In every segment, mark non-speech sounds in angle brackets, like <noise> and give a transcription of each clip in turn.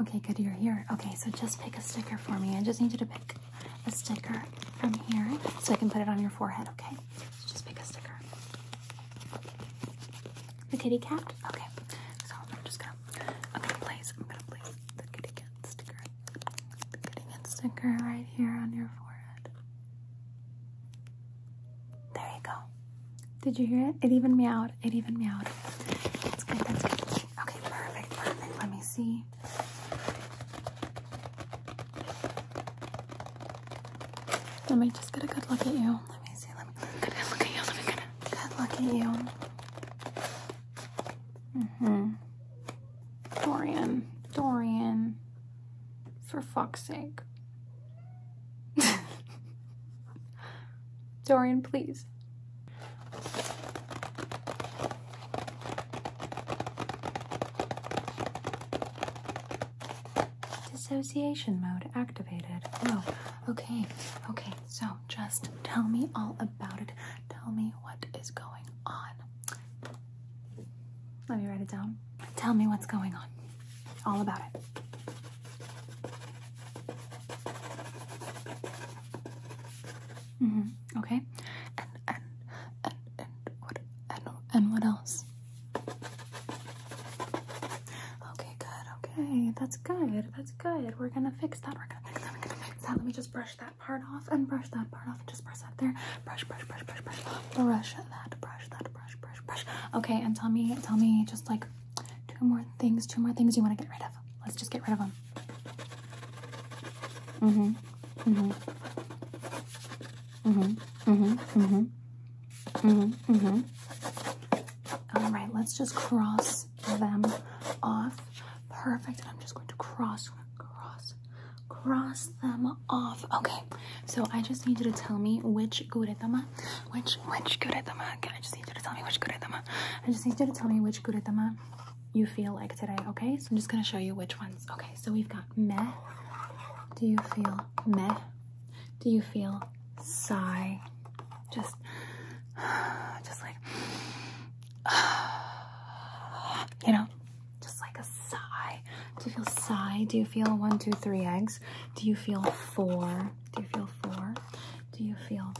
Okay, good, you're here. Okay, so just pick a sticker for me. I just need you to pick a sticker from here so I can put it on your forehead, okay? just pick a sticker. The kitty cat? Okay, so I'm just gonna, I'm gonna place, I'm gonna place the kitty cat sticker, the kitty cat sticker right here on your forehead. There you go. Did you hear it? It even out meowed. It even meowed. That's good. That's good. Okay, perfect, perfect. Let me see. Let me just get a good look at you. Let me see. Let me get a look at you. Let me get a good look at you. hmm Dorian. Dorian. For fuck's sake. <laughs> Dorian, please. Dissociation mode activated. Oh, Okay. Okay. So just tell me all about it. Tell me what is going on. Let me write it down. Tell me what's going on. All about it. Mm -hmm. Okay. And and and and what and, and what else? Okay, good. Okay, that's good. That's good. We're gonna fix that. We're gonna fix that. We're gonna fix that. Let me just brush that part off and brush that part off. And just brush that there. Brush, brush, brush, brush, brush. Brush that. Brush that. Brush, brush, brush. Okay, and tell me, tell me, just like two more things. Two more things you want to get rid of. Let's just get rid of them. Mm-hmm. Mm-hmm. Mm-hmm. Mm-hmm. Mm-hmm. Mm-hmm. Mm-hmm. All right, let's just cross them off. Perfect. I'm just going to cross, cross, cross them off. Okay. So I just need you to tell me which guretama, which which guretama. Okay, I just need you to tell me which guretama I just need you to tell me which guretama you feel like today, okay? So I'm just gonna show you which ones. Okay, so we've got meh. Do you feel meh? Do you feel sigh? Just, just like, you know, just like a sigh. Do you feel sigh? Do you feel one, two, three eggs? Do you feel four? Do you feel four? Do you feel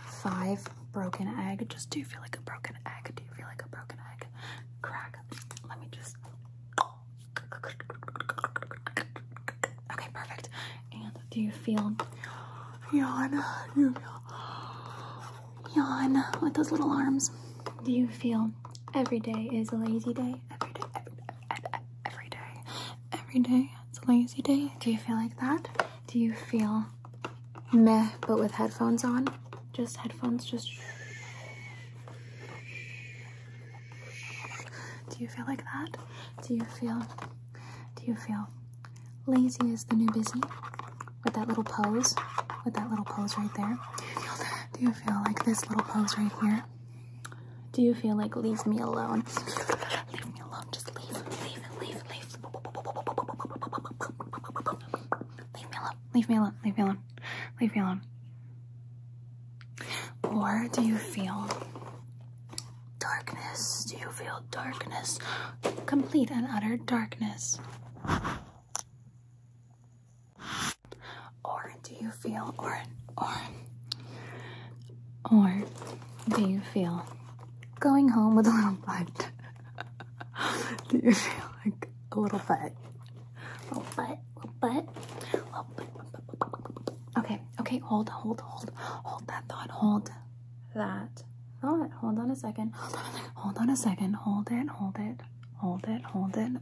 five? broken egg. Just do you feel like a broken egg? Do you feel like a broken egg? Crack. Let me just. Okay, perfect. And do you feel yawn? Do you feel yawn with those little arms? Do you feel every day is a lazy day? Every day, every, every day, every day, it's a lazy day. Do you feel like that? Do you feel meh, but with headphones on? Just headphones, just. Do you feel like that? Do you feel. Do you feel lazy is the new busy? With that little pose? With that little pose right there? Do you feel like this little pose right here? Do you feel like leaves me alone? Leave me alone. Just leave. Leave. Leave. Leave. Leave me alone. Leave me alone. Leave me alone. Leave me alone. Or do you feel darkness? Do you feel darkness? Complete and utter darkness. Or do you feel or or or do you feel going home with a little butt? <laughs> do you feel like a little butt? A little butt, little butt, little butt. Okay, okay, hold, hold, hold, hold that thought, hold that thought. Hold on a second, hold on a second, hold it, hold it, hold it, hold it.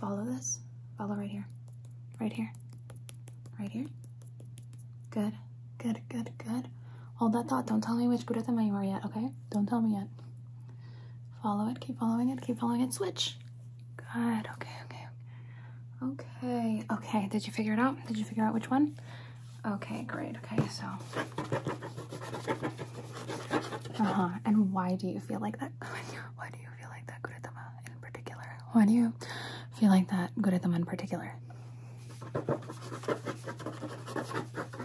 Follow this, follow right here, right here, right here. Good, good, good, good. Hold that thought. Don't tell me which Buddha you are yet, okay? Don't tell me yet. Follow it, keep following it, keep following it. Switch. Good, okay, okay. Okay, okay. Did you figure it out? Did you figure out which one? Okay, great. Okay, so. Uh huh. And why do you feel like that? <laughs> Why do you feel like that, Guratama? in particular? Why do you feel like that good at them in particular?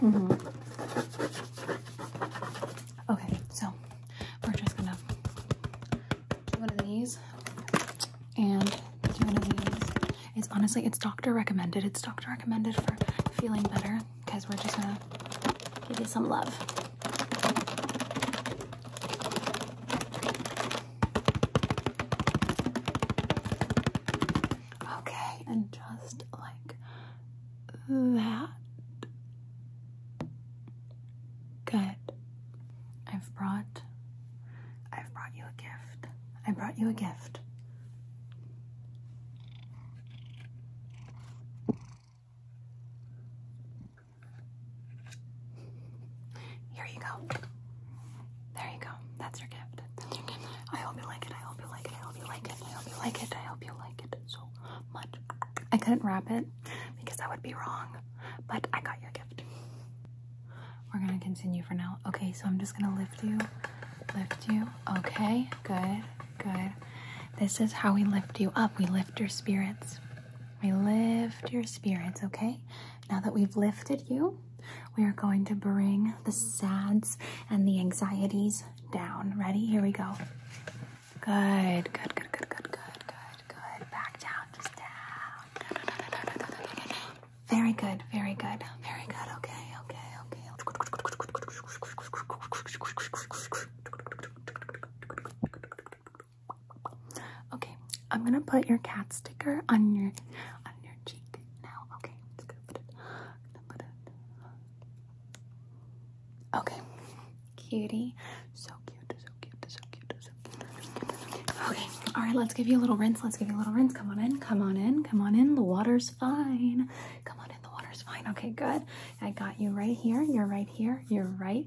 Mm-hmm. Okay, so we're just gonna do one of these and one of these. It's honestly, it's doctor recommended. It's doctor recommended for feeling better because we're just gonna give you some love. Okay, and just like that. Good. I've brought I've brought you a gift. I brought you a gift. Here you go. There you go. That's your gift. That's your gift. I hope you like it. I hope you like it. I hope you like it. I hope you like it. I hope you like it so much. I couldn't wrap it because that would be wrong, but I got your gift. We're gonna continue for now. Okay, so I'm just gonna lift you, lift you. Okay, good, good. This is how we lift you up. We lift your spirits. We lift your spirits, okay? Now that we've lifted you, we are going to bring the sads and the anxieties down. Ready? Here we go. Good, good, good, good, good, good, good, good. Back down, just down. Very good, very good, very good. Okay, okay, okay. Okay, I'm gonna put your cat sticker on your on your cheek now. Okay, I'm gonna put it. so cute, so cute, so cute, so cute. Okay, all right, let's give you a little rinse. Let's give you a little rinse. Come on in, come on in, come on in. The water's fine. Come on in, the water's fine. Okay, good. I got you right here. You're right here. You're right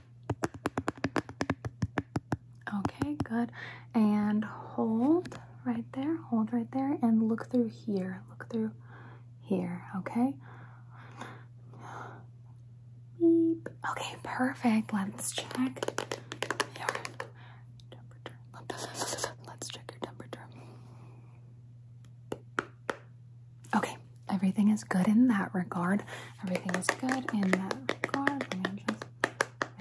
Okay, good. And hold right there, hold right there, and look through here. Look through here, okay? Okay, perfect. Let's check your temperature. Let's check your temperature. Okay, everything is good in that regard. Everything is good in that regard.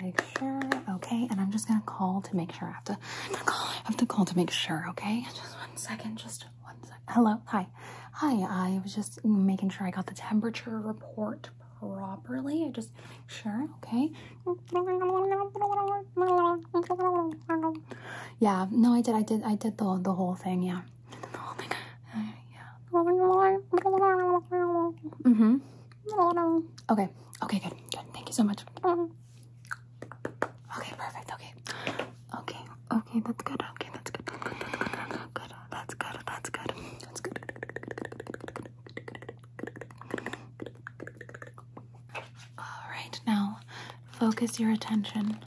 Make sure, okay? And I'm just gonna call to make sure. I have to, call, I have to call to make sure, okay? Just one second, just one second. Hello, hi. Hi, I was just making sure I got the temperature report properly. I just make sure, okay? Yeah, no, I did, I did, I did the, the whole thing, yeah yeah. hmm Okay. Okay, good. Good. Thank you so much. Okay, perfect. Okay. Okay. Okay, that's good. Okay, that's good. That's good. That's good. That's good. That's good. That's good. All right, now focus your attention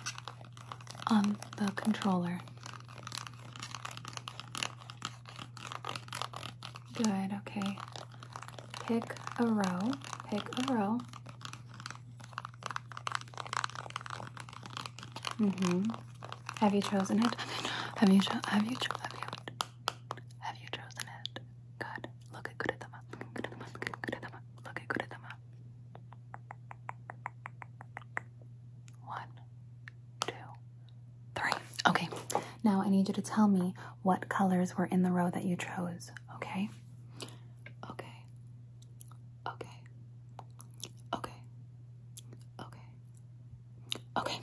on the controller. Good, okay. Pick a row, pick a row. Mm-hmm. Have you chosen it? Have you cho have you chosen have you have you chosen it? Good. Look at kuretama. Kuretama. Kuretama. Look at kuretama. One, two, Three. Okay, now I need you to tell me what colors were in the row that you chose, okay? Okay. Okay. Okay. Okay. Okay.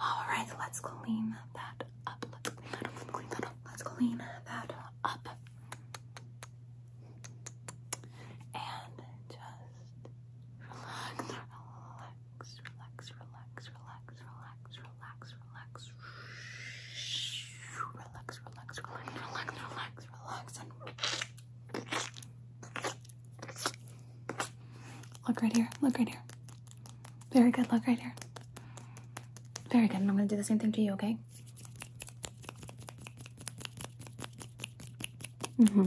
Alright, let's clean that up. Let's clean that up. Let's clean that up. And just relax, relax, relax, relax, relax, relax, relax, relax. Relax, relax, relax, relax, relax, relax, and look right here, look right here. Very good, look right here. Very good, and I'm gonna do the same thing to you, okay? Mm-hmm.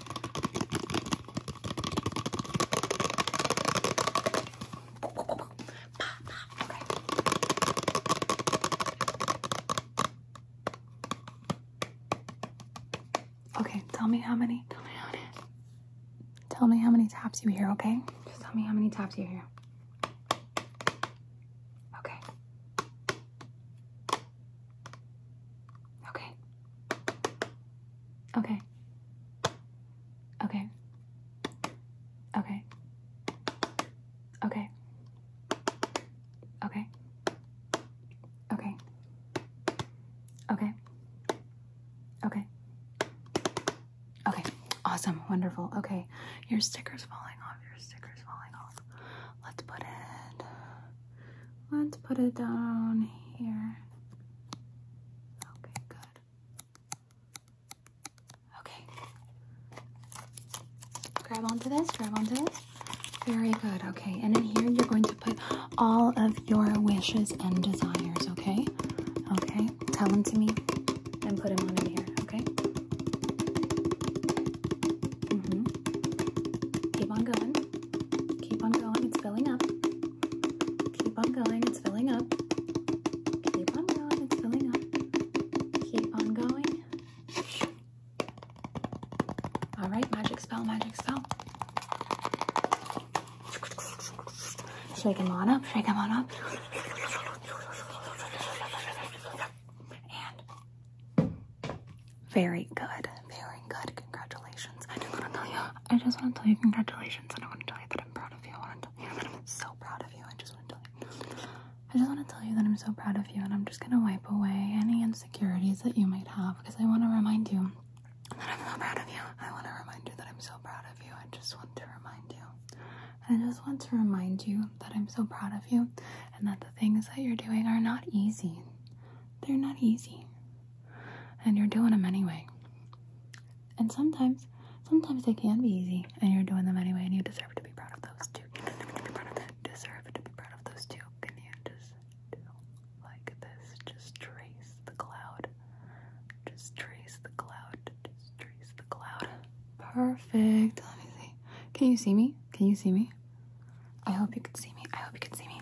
okay. Okay, tell me how many. Tell me how many. Tell me how many taps you hear, okay? Just tell me how many taps you hear. Okay. Okay. Okay. Okay. Okay. Okay. Okay. Okay. Okay. Okay. Okay. Okay. Awesome. Wonderful. Okay. Your sticker's falling off. Your sticker's falling off. Let's put it. Let's put it down here. Okay, good. Okay. Grab onto this, grab onto this. Very good. Okay, and in here you're going to put all of your wishes and desires, okay? Okay, tell them to me and put them on in here, okay? hmm Keep on going. Keep on going. It's filling up. Keep on going, it's filling up. Keep on going, it's filling up. Keep on going. All right, magic spell, magic spell. Shake them on up, shake them on up. And very good, very good. Congratulations. I just want to tell you congratulations, and I want to tell you that I'm proud of you. I want to tell you that I'm so proud of you. I just want to tell you. I just want to tell you that I'm so proud of you, and I'm just gonna wipe away any insecurities that you might have because I want to remind you that I'm so proud of you. I want to remind you that I'm so proud of you. I just want to remind you. I just want to remind you that I'm so proud of you and that the things that you're doing are not easy. They're not easy. And you're doing them anyway. And sometimes, sometimes they can be easy, and you're doing them anyway, and you deserve to be proud of those two. deserve to be proud of those too. Can you just like this? Just trace the cloud. Just trace the cloud. Just trace the cloud. Perfect. Let me see. Can you see me? Can you see me? I hope you can see me. I hope you can see me.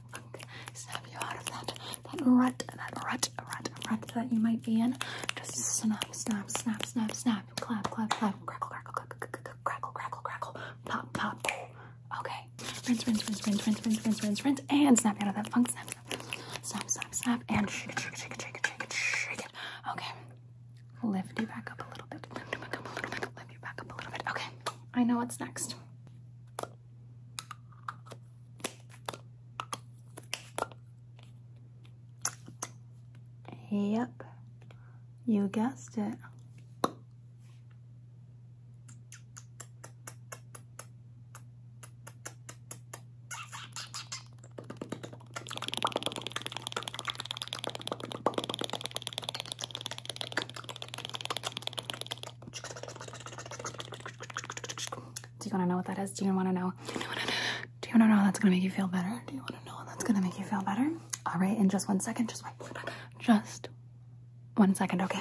snap you out of that rut, that rut, rut, rut that you might be in. Just snap, snap, snap, snap, snap, clap, clap, clap, crackle, crackle, crackle, crackle, crackle, crackle, pop, pop. Okay, rinse, rinse, rinse, rinse, rinse, rinse, rinse, rinse, rinse, and snap you out of that funk. Snap, snap, snap, snap, and shake it, shake it, shake it, shake it, shake it, shake Okay, lift you back up a little bit. Lift you back up a little bit. Lift you back up a little bit. Okay, I know what's next. Yep, you guessed it. Do you want to know what that is? Do you want to know? Do you want to know? Do that's going to make you feel better? Do you want to know that's going to make you feel better? All right, in just one second, just wait. Just one second, okay?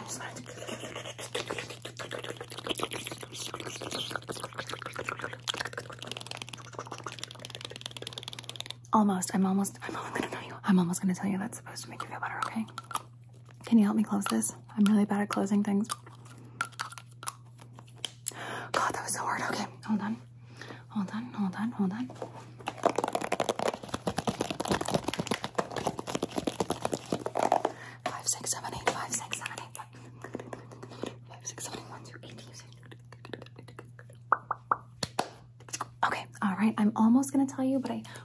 Almost. I'm almost. I'm almost gonna tell you. I'm almost gonna tell you that's supposed to make you feel better. Okay. Can you help me close this? I'm really bad at closing things. God, that was so hard. Okay, hold on. Hold on, hold on, hold on. Five, six, seven, eight, five, six, seven, eight, five, five six, seven, eight, one, two, eight, two, six. Okay, all right. I'm almost gonna tell you, but I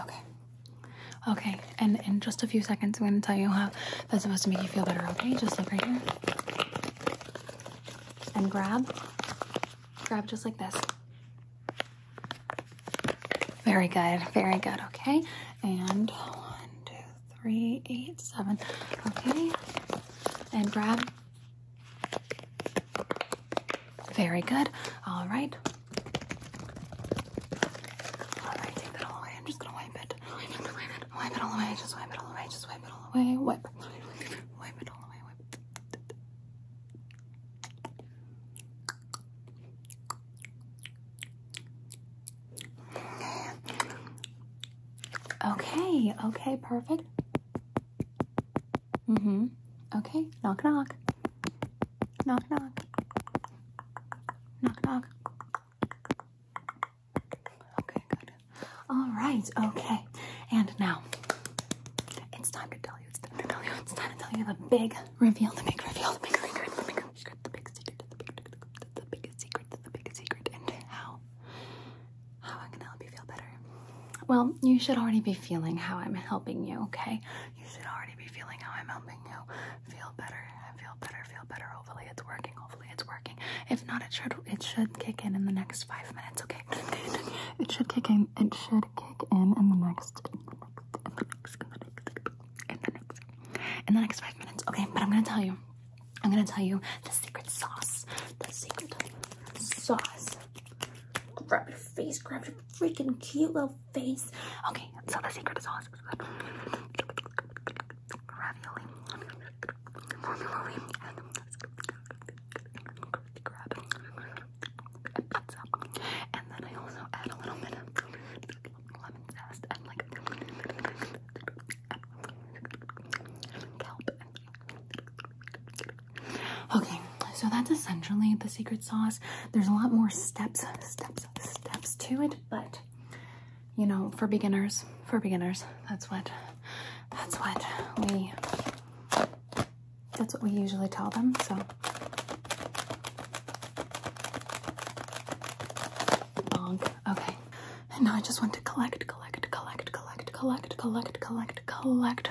Okay. Okay, and in just a few seconds, I'm going to tell you how that's supposed to make you feel better, okay? Just look right here. And grab. Grab just like this. Very good, very good, okay? And one, two, three, eight, seven, okay? And grab, very good. All right. All right, take that all away. just gonna wipe it. Wipe it all away. Just wipe it all away. Just wipe it all away. Wipe. Wipe it all away. Wipe. Okay. Okay. Perfect. Mm-hmm. Okay. Knock knock. Knock knock. Knock knock. Okay, good. Alright, okay. And now it's time to tell you, it's time to tell you, it's time to tell you the big reveal, the big reveal, the big secret, the big secret, the big secret, the big secret, the big secret, the big secret, and how how I can help you feel better. Well, you should already be feeling how I'm helping you, okay? You should already be feeling how I'm helping you. Feel better, feel better, feel better. Hopefully it's working, hopefully it's working. If not, it should it should kick in in the next five minutes, okay? It should kick in, it should kick in in the next, in the next, in the next five minutes, okay? But I'm gonna tell you, I'm gonna tell you the secret sauce, the secret sauce Grab your face, grab your freaking cute little face. Okay, so the secret is good. Ravioli, formuloli, and grab and then I also add a little bit of lemon zest and like kelp Okay, so that's essentially the secret sauce. There's a lot more steps, steps, steps to it, but you know, for beginners, for beginners, that's what that's what we that's what we usually tell them. So Bonk. Okay. And now I just want to collect, collect, collect, collect, collect, collect, collect, collect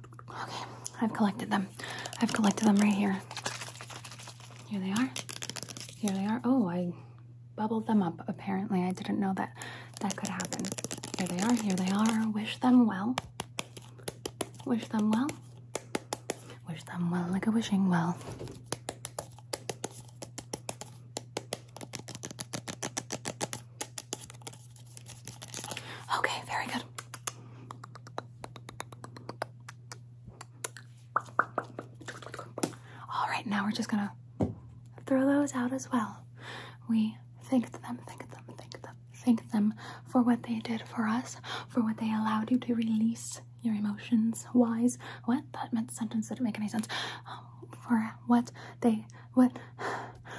Okay, I've collected them. I've collected them right here. Here they are. Here they are. Oh, I bubbled them up apparently. I didn't know that that could happen. Here they are. Here they are. Wish them well. Wish them well. Wish them well like a wishing well. Okay, very good. All right, now we're just gonna throw those out as well. We thank them, thank them, thank them, thank them for what they did for us, for what they allowed you to release your emotions. Wise, what that meant sentence didn't make any sense. Um, for what they, what,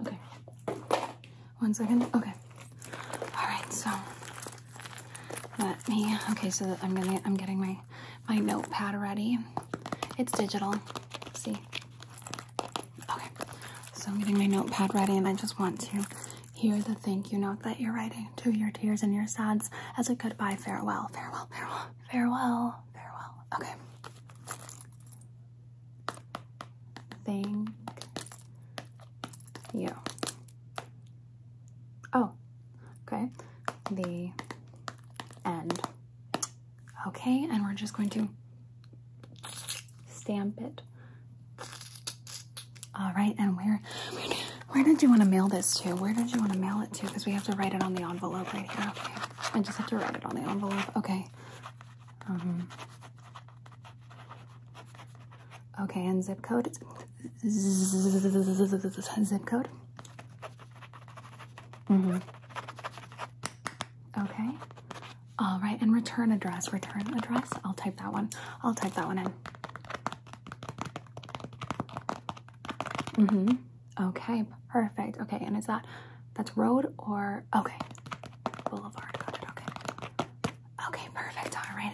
Okay. One second. Okay. All right. So let me. Okay. So I'm gonna. I'm getting my my notepad ready. It's digital. See. Okay. So I'm getting my notepad ready, and I just want to Hear the thank you note that you're writing to your tears and your sads as a goodbye, farewell, farewell, farewell, farewell, farewell. Okay. Thank you. Oh, okay. The end. Okay, and we're just going to Stamp it. All right, and where, where did you want to mail this to? Where did you want to mail it to? Because we have to write it on the envelope right here. Okay, I just have to write it on the envelope. Okay. Mm-hmm. okay, and zip code. Zip code. Mm-hmm. Okay. All right, and return address, return address. I'll type that one. I'll type that one in. Mm hmm Okay, perfect. Okay, and is that that's road or okay. Boulevard, got it, okay. Okay, perfect. Alright.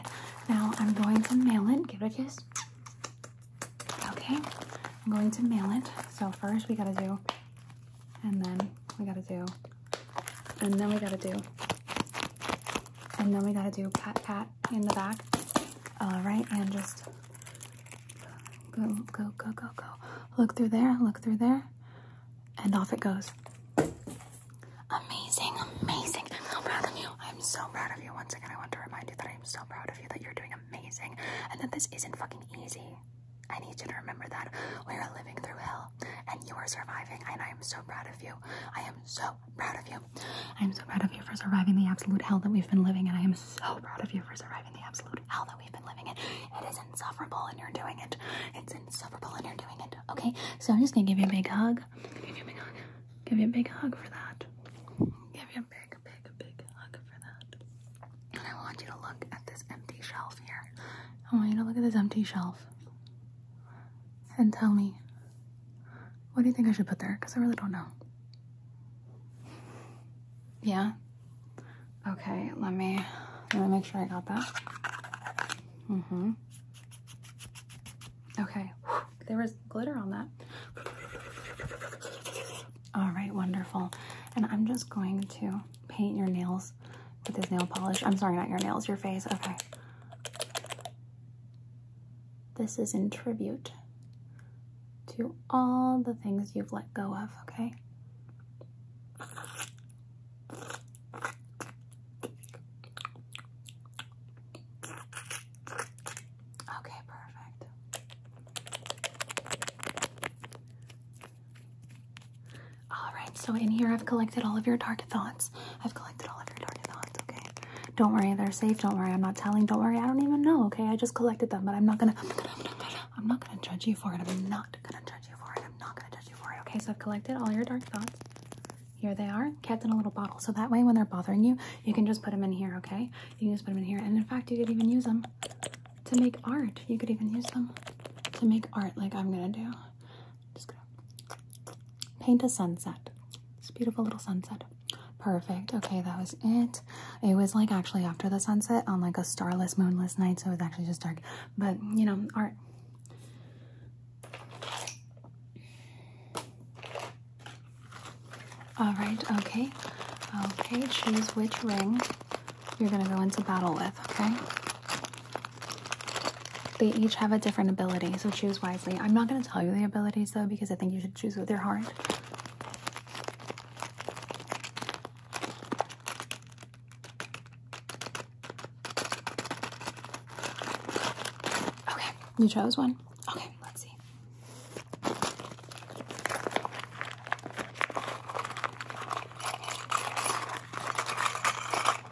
Now I'm going to mail it. Give it a kiss. Okay. I'm going to mail it. So first we gotta do and then we gotta do and then we gotta do, and then we gotta do pat pat in the back. All uh, right, and just go, go, go, go, go. go. Look through there, look through there, and off it goes. Amazing, amazing. I'm so proud of you. I'm so proud of you. Once again, I want to remind you that I am so proud of you, that you're doing amazing, and that this isn't fucking easy. I need you to remember that. We are living through hell and you are surviving, and I am so proud of you. I am so proud of you. I am so proud of you for surviving the absolute hell that we've been living And I am so proud of you for surviving the absolute hell that we've been living in. It is insufferable, and you're doing it. It's insufferable, and you're doing it. Okay, so I'm just gonna give you a big hug. Give you a big hug. Give you a big hug for that. Give you a big, big, big hug for that. And I want you to look at this empty shelf here. I want you to look at this empty shelf and tell me what do you think I should put there? Because I really don't know. Yeah? Okay, let me let me make sure I got that. hmm Okay. There was glitter on that. Alright, wonderful. And I'm just going to paint your nails with this nail polish. I'm sorry, not your nails, your face. Okay. This is in tribute to all the things you've let go of, okay? Okay, perfect. All right, so in here I've collected all of your dark thoughts. I've collected all of your dark thoughts, okay? Don't worry, they're safe. Don't worry, I'm not telling. Don't worry, I don't even know, okay? I just collected them, but I'm not gonna, I'm not gonna, judge you for it. I'm not gonna judge you for it. I'm not gonna judge you for it, okay? So I've collected all your dark thoughts. Here they are, kept in a little bottle. So that way, when they're bothering you, you can just put them in here, okay? You can just put them in here. And in fact, you could even use them to make art. You could even use them to make art like I'm gonna do just gonna paint a sunset. It's beautiful little sunset. Perfect. Okay, that was it. It was like actually after the sunset on like a starless, moonless night, so it was actually just dark. But you know, art. All right. Okay. Okay. Choose which ring you're gonna go into battle with. Okay. They each have a different ability, so choose wisely. I'm not going to tell you the abilities though, because I think you should choose with your heart. Okay, you chose one. Okay, let's see.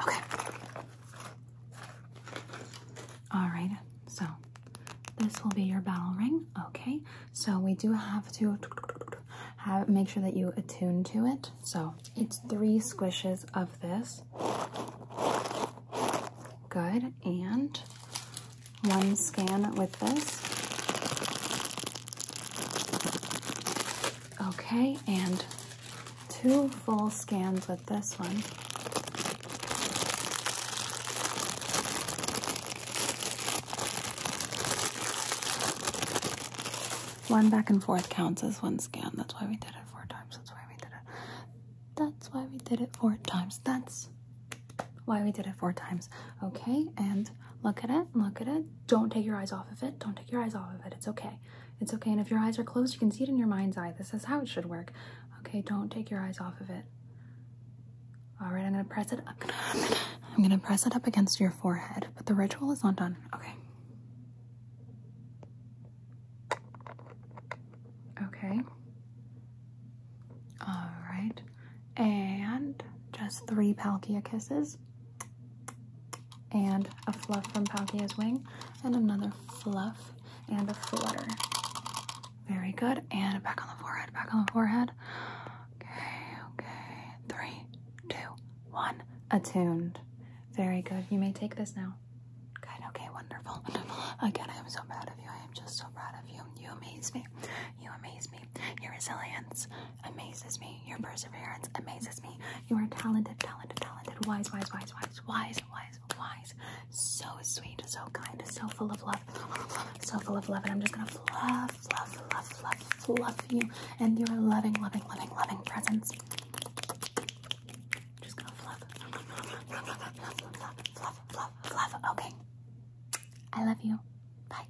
Okay. All right. So this will be your battle ring. Okay. So we do have to have make sure that you attune to it. So it's three squishes of this. Good. And one scan with this. Okay, and two full scans with this one. One back and forth counts as one scan. That's why we did it four times. That's why we did it. That's why we did it four times. That's why we did it four times. Okay, and look at it, look at it don't take your eyes off of it. Don't take your eyes off of it. It's okay. It's okay. And if your eyes are closed, you can see it in your mind's eye. This is how it should work. Okay, don't take your eyes off of it. All right, I'm gonna press it up. I'm gonna press it up against your forehead, but the ritual is not done. Okay. Okay. All right and just three Palkia kisses, and a fluff from Palkia's wing, and another fluff, and a flutter. Very good, and back on the forehead, back on the forehead. Okay, okay, three, two, one, attuned. Very good, you may take this now. Good, okay, wonderful. Again, I am so proud of you, I am just so proud of you. You amaze me, you amaze me. Your resilience amazes me. Your perseverance amazes me. You are talented, talented, talented, wise, wise, wise, wise, wise, wise, wise. So sweet, so kind, so full of love, so full of love. And I'm just gonna fluff, fluff, fluff, fluff, fluff you and your loving, loving, loving, loving presence. Just gonna fluff, fluff, fluff, fluff, fluff, fluff, fluff, fluff. Okay. I love you. Bye.